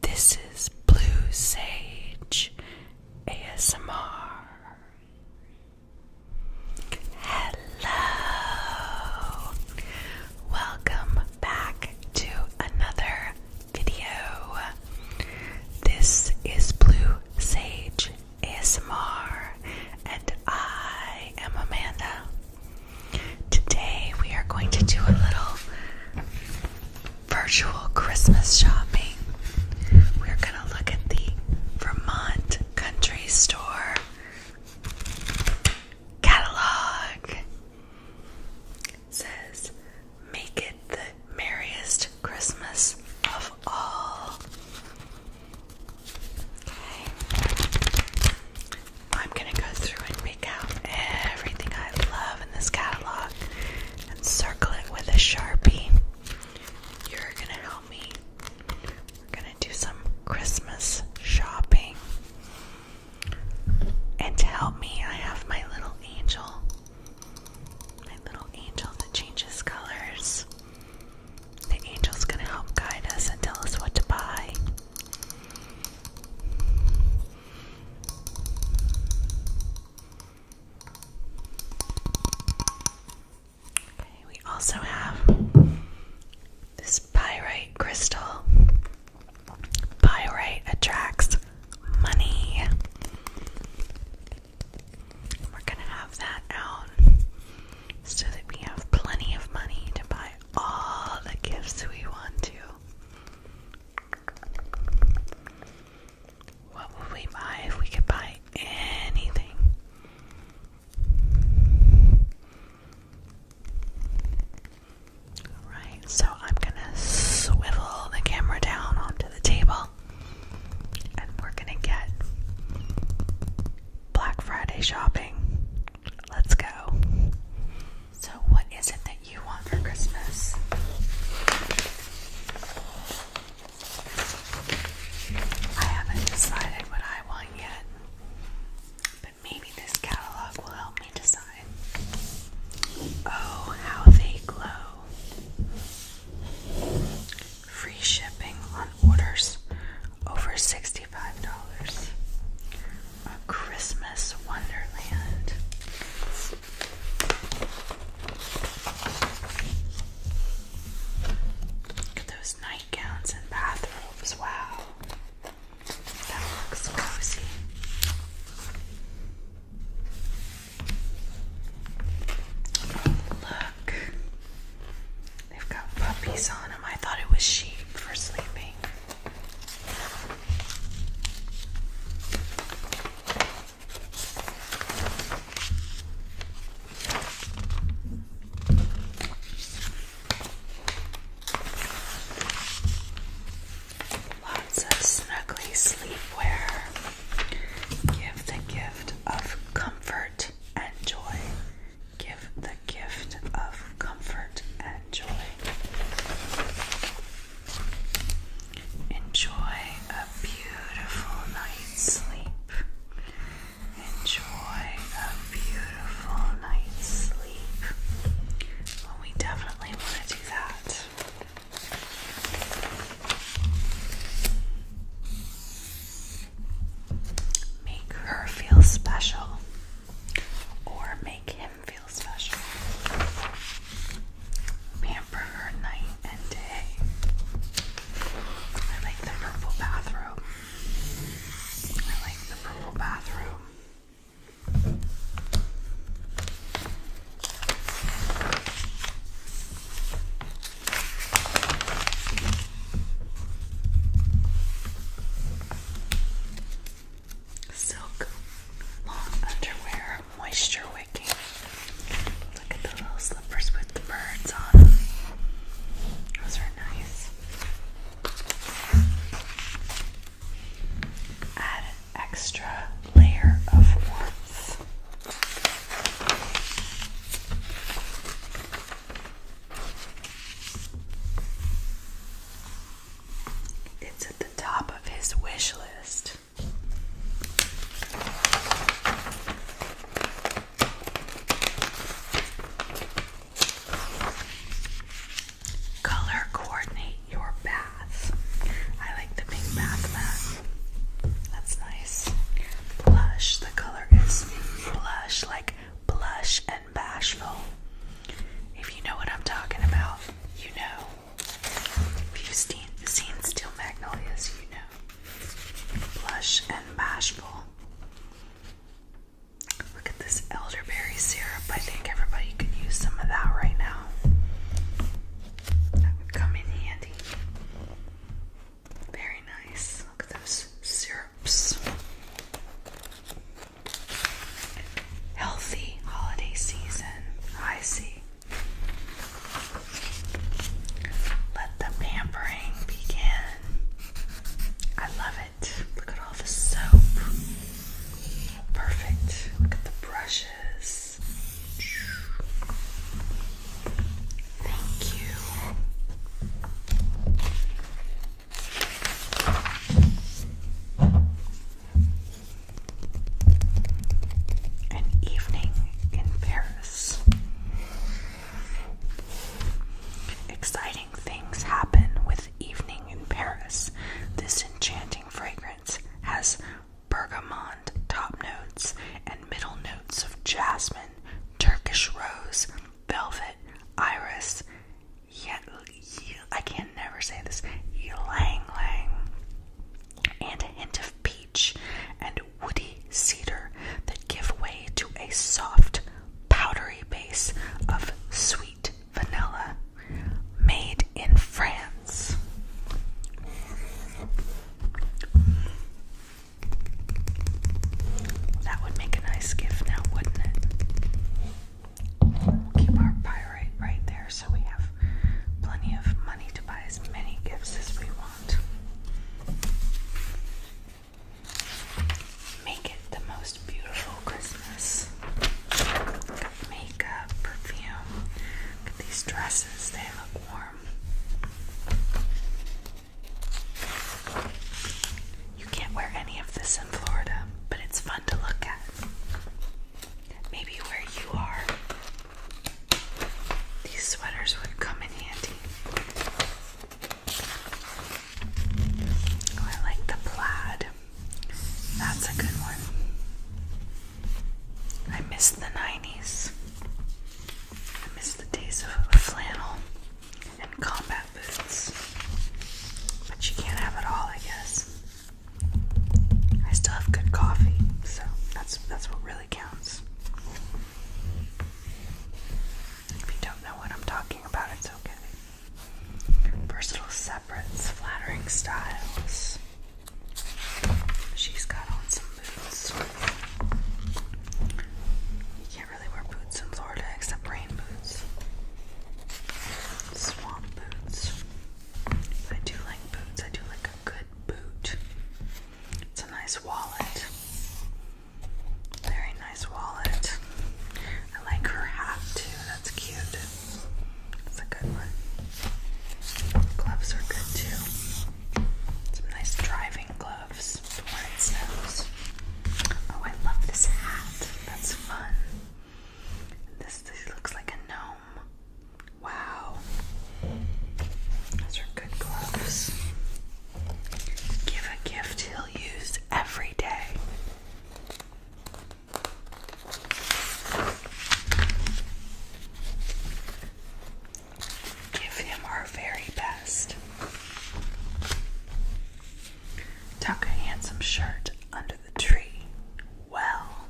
This is Blue Sage ASMR. Hello! Welcome back to another video. This is Blue Sage ASMR, and I am Amanda. Today we are going to do a little virtual Christmas shopping. We're gonna look at the Vermont Country Store catalog. says, make it the merriest Christmas of all. Okay. I'm gonna go through and out everything I love in this catalog and circle it with a sharpie. You're gonna help me. We're gonna do some Christmas shopping. And to help me, I have my little angel. My little angel that changes colors. The angel's gonna help guide us and tell us what to buy. Okay, we also have this pyrite crystal. Pyrite attracts money. We're going to have that out so that we have plenty of money to buy all the gifts we want to. What would we buy if we could buy anything? Alright, so I'm gonna swivel the camera down onto the table and we're gonna get Black Friday shopping. Let's go. So, what is it that you want for Christmas? I haven't decided what I want yet, but maybe this catalog will help me decide. Oh, how they glow! Free shipping on orders over $65 a Christmas wonderland. Look at those nightgowns and bathrobes. Wow. That looks cozy. look. They've got puppies on them. I thought it was sheep for sleeping. Lots of snuggly sleepwear. Give the gift of comfort and joy. Give the gift of comfort and joy. Enjoy a beautiful night's sleep. Enjoy a beautiful night's sleep. we definitely want to do that. Make her feel special or make him feel special. Pamper her night and day. I like the purple bathrobe. I like the purple bathrobe silk long underwear, moisture wicking. Look at the little slippers with the birds on Those are nice. Add extra layer of warmth. It's at the top of his wish list. Color coordinate your bath. I like the pink bath mat. That's nice. Blush. The color is blush, like blush and and bashful. If you know what I'm talking about, you know. If you've seen, seen Steel Magnolias, you know. Blush and bashful. Look at this elderberry syrup. I think everybody could use some of that right now. That would come in handy. Very nice. Look at those syrups. Healthy holiday season, I see. Let the pampering begin. I love it. Look at all the soap. Perfect. Look at the brushes. Thank you. An Evening in Paris. Exciting things happen with Evening in Paris. This enchanting fragrance has bergamot top notes and middle notes of jasmine, Turkish rose, velvet, iris, yeah, I can never say this. Ylang lang, and a hint of peach and woody cedar that give way to a soft, powdery base of sweet vanilla, made in France. That would make a nice gift now, wouldn't it? keep our pyrite right there so we have plenty of money to buy as many gifts as we want. Make it the most beautiful Christmas. makeup, perfume. these dresses, they look warm. You can't wear any of this in Florida, but it's fun to look at. Maybe where you are, these sweaters would come in handy. Oh, I like the plaid. That's a good one. I miss the 90s. I miss the days of flannel and combat boots. But you can't have it all, I guess. I still have good coffee, so that's that's what really counts. If you don't know what I'm talking about, it's okay. Versatile separates, flattering styles. She's got on some boots can really wear boots in Florida except rain boots. Swamp boots. I do like boots. I do like a good boot. It's a nice wallet. Very nice wallet. I like her hat too. That's cute. That's a good one. Gloves are good too. Some nice driving gloves for when it snows. Oh, I love this hat. That's fun. This, looks like a gnome. Wow. Those are good gloves. Give a gift he'll use every day. Give him our very best. Tuck a handsome shirt under the tree. Well,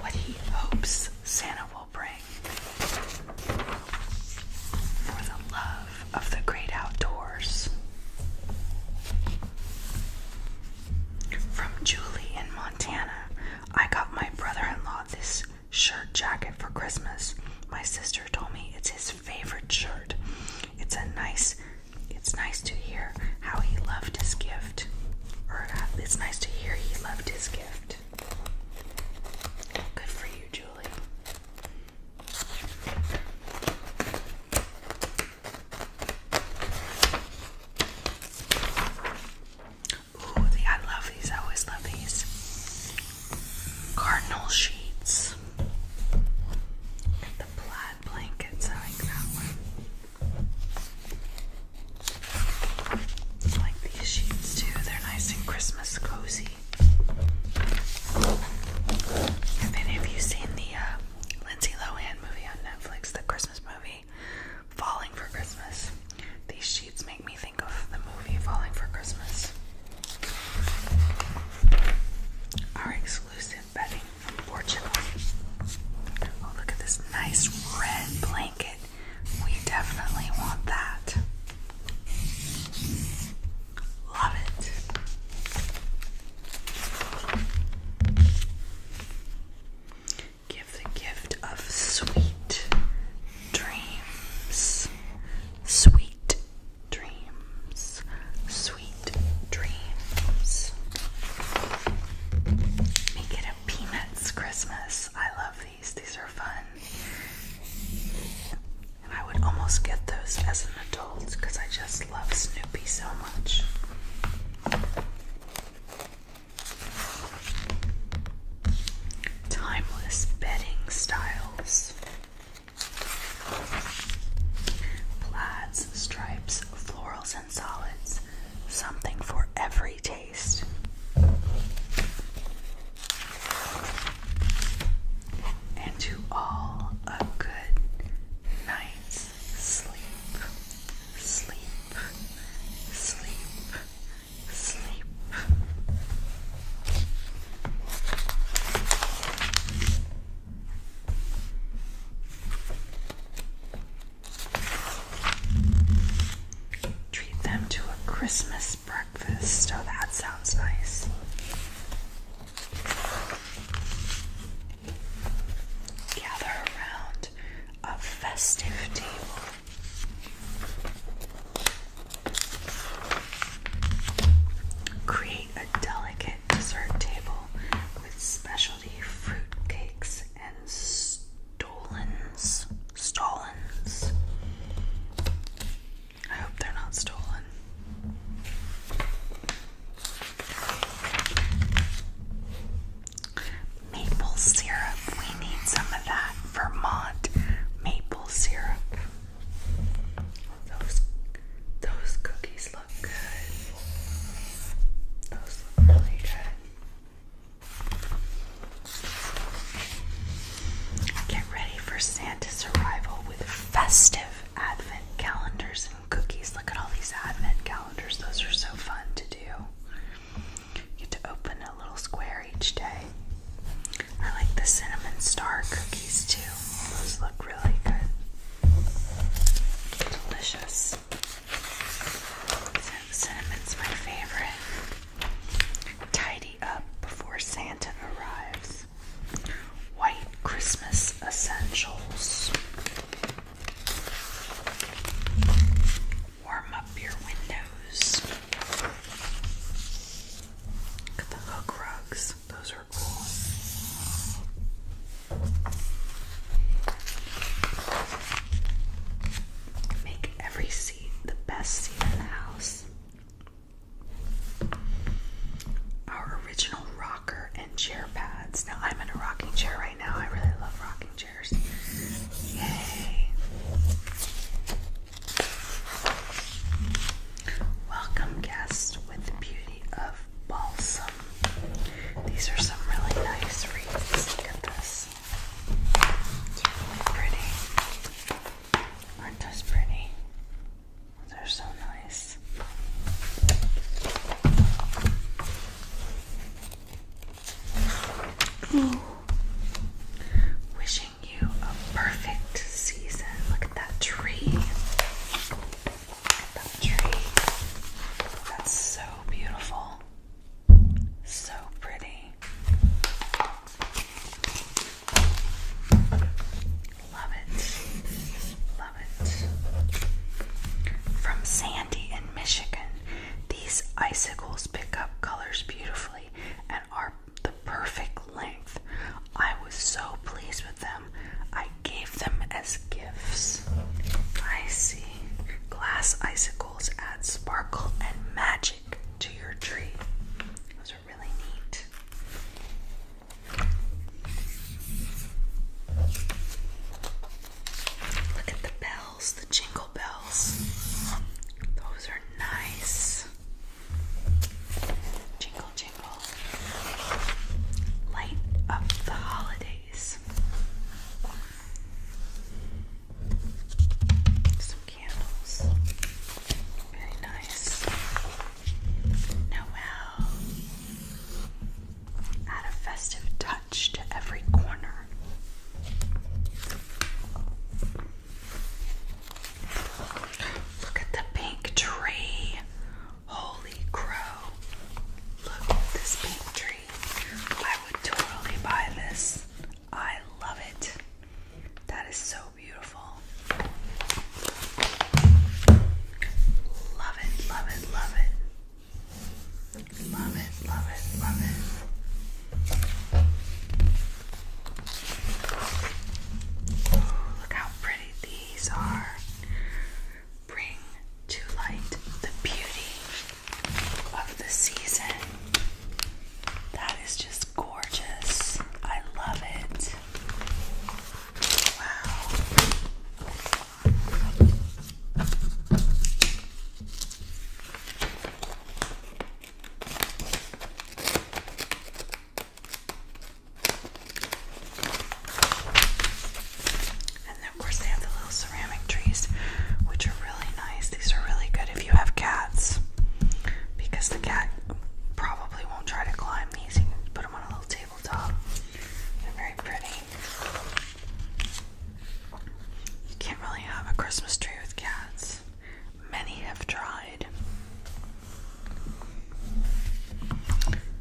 what he hopes Santa will bring for the love of the great outdoors. From Julie in Montana I got my brother in law this shirt jacket for Christmas. My sister told me it's his favorite shirt. It's a nice, it's nice to hear how he loved his gift. Or it's nice to hear he loved his gift. Good for you, Julie. Ooh, I love these. I always love these. Cardinal sheets. the plaid blankets. I like that one. I like these sheets too. They're nice and Christmas cozy. Have you seen the uh, Lindsay Lohan movie on Netflix, the Christmas movie? Falling for Christmas. These sheets make me think of the movie Falling for Christmas. Our exclusive bedding from Oh, look at this nice red blanket. We definitely want that. Love it. Give the gift of sweet dreams. Sweet dreams. Sweet dreams. Make it a peanuts Christmas. I love these. These are fun. And I would almost get those as an adult because I just love Snoopy so much. Timeless bedding styles. Plaids, stripes, florals, and solids. Something for every taste. And to all a good night's sleep, sleep, sleep, sleep. Treat them to a Christmas breakfast. Oh, that sounds nice gather around a festive table. Create a delicate dessert table with specialty fruit cakes and stolens. Stolens. I hope they're not stolen. Maple syrup. We need some of that Vermont maple syrup. Those those cookies look good. Those look really Get ready for Santa's arrival with festive advent calendars cookies. Look at all these advent calendars. Those are so fun to do. You get to open a little square each day. I like the cinnamon star cookies too. Those look really good. Delicious. Cinnamon's my favorite. Tidy up before Santa arrives. White Christmas essentials. Warm up your windows. Look at the hook rugs, those are cool. Make every seat the best seat in the house. Our original rock and chair pads. Now I'm in a rocking chair right now. I really love rocking chairs. Yay! Welcome guests with the beauty of balsam. These are some really nice wreaths. Look at this. really pretty. Aren't those pretty? They're so nice this. Wishing you a perfect season. Look at that tree. That's so beautiful. So pretty. Love it. From Sandy in Michigan, these icicles pick up colors beautifully and are the perfect length. I was so pleased with them. I gave them as gifts. I see. Glass icicles add sparkle and magic to your tree. Those are really neat. Look at the bells, the jingle bells. Those are nice. Jingle, jingle. Light up the holidays. Some candles. Very nice. Noel. Add a festive touch to every corner. Look at the pink tree. Holy crow. Look at this pink tree. I would totally buy this. I love it. That is so beautiful. Love it, love it, love it. Love it, love it, love it. Oh, look how pretty these are. Bring to light the beauty of the season. That is just gorgeous. I love it. Wow. And of course they have the little ceramic trees, which are really nice. These are really good if you have cats, because the cat probably won't try to climb these. You can put them on a little table. They're very pretty. You can't really have a Christmas tree with cats. Many have tried.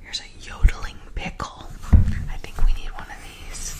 Here's a yodeling pickle. I think we need one of these.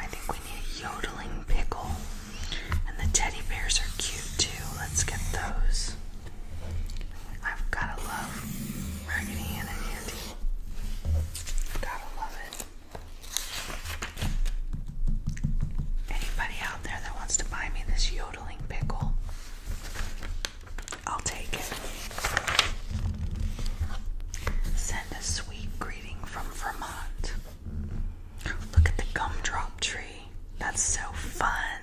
I think we need a yodeling pickle. And the teddy bears are cute too. Let's get those. I've gotta love Raggedy and Anybody out there that wants to buy me this yodeling pickle, I'll take it. Send a sweet greeting from Vermont. Look at the gumdrop tree. That's so fun.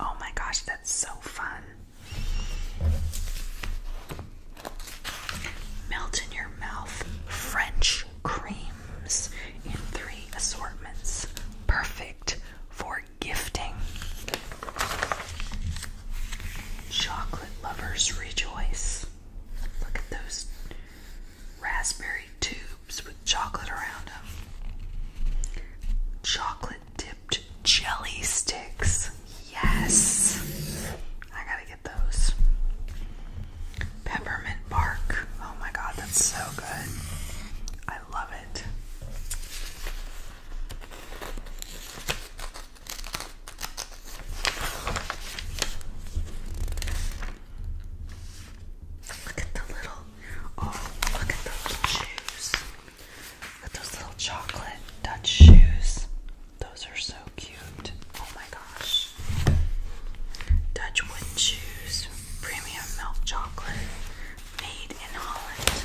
Oh my gosh, that's so fun. Melt in your mouth French creams in three assortments. Perfect for gifting. Chocolate lovers rejoice. Look at those raspberry tubes with chocolate around them. Chocolate dipped jelly sticks. Yes. I gotta get those. Peppermint bark. Oh my god, that's so good. I love it. Look at the little, oh, look at the shoes those little chocolate Dutch shoes. Those are so cute. Oh my gosh. Dutch wooden shoes, premium milk chocolate, made in Holland.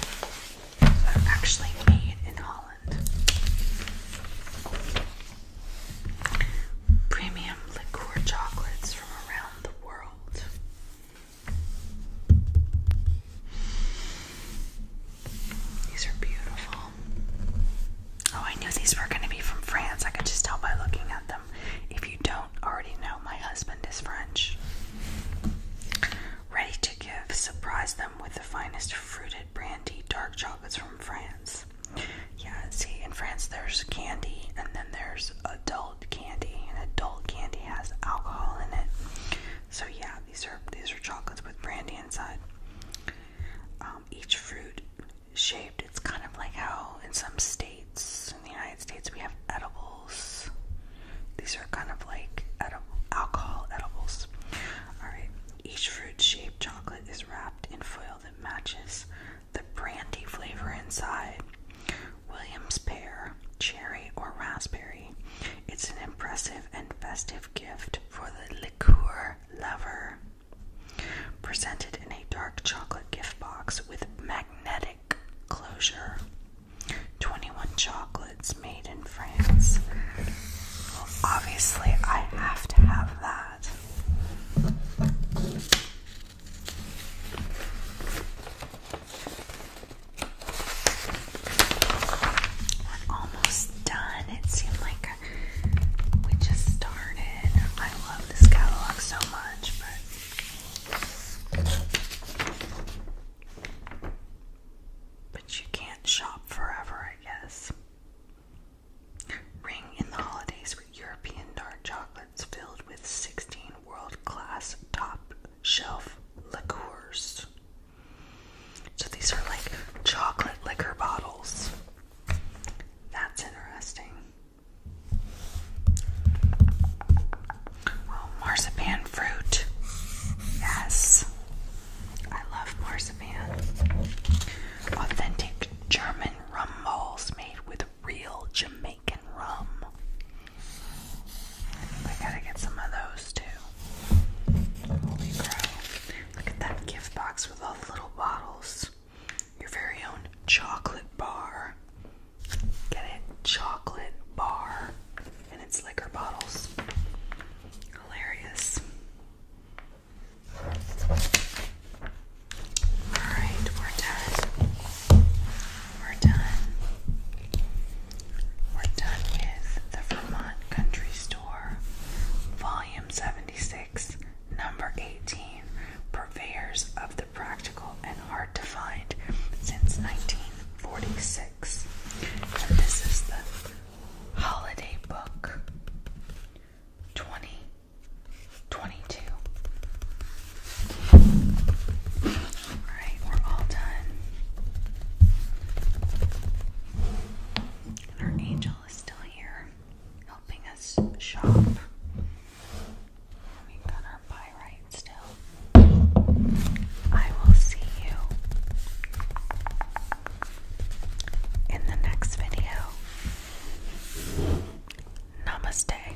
actually made in Holland. Premium liqueur chocolates from around the world. These are beautiful. Oh, I knew these were going to be from France. I could just tell by looking at them. If you don't already know, my husband is French. Ready to give, surprise them with the finest fruited brandy, dark chocolates from France. Yeah, see, in France there's candy and then there's adult candy, and adult candy has alcohol in it. So yeah, these are these are chocolates with brandy inside. Um, each fruit shaped. It's kind of like how in some states in the United States we have edibles. These are kind of like edible alcohol edibles. All right. Each fruit-shaped chocolate is wrapped in foil that matches the brandy flavor inside. Williams pear, cherry, or raspberry. It's an impressive and festive gift for the liqueur lover. Presented in a dark chocolate gift box with magnetic closure. 21 chocolates made in France. obviously, I have to have that. We're almost done. It seemed like we just started. I love this catalog so much, but but you can't shop forever, I guess. Ring in the holidays with European dark chocolates filled with 16 world-class top shelf liqueurs. So these are like chocolate liquor bottles. That's interesting. marzipan fruit. Yes. I love marzipan. Authentic German rum balls made with real Jamaican rum. I gotta get some of those too. Holy crow. Look at that gift box with all little bottles. Your very own chocolate bar. Get it? Chocolate bar. And it's liquor bottles. Hilarious. Alright, we're done we're done. We're done with the Vermont Country Store, Volume 76, Number 18 Purveyors of the Practical and Hard to Find since 1946. And this is the Holiday Book 2022. Alright, we're all done. our angel is still here helping us shop. we got our buy right still. I will see you in the next video. Namaste.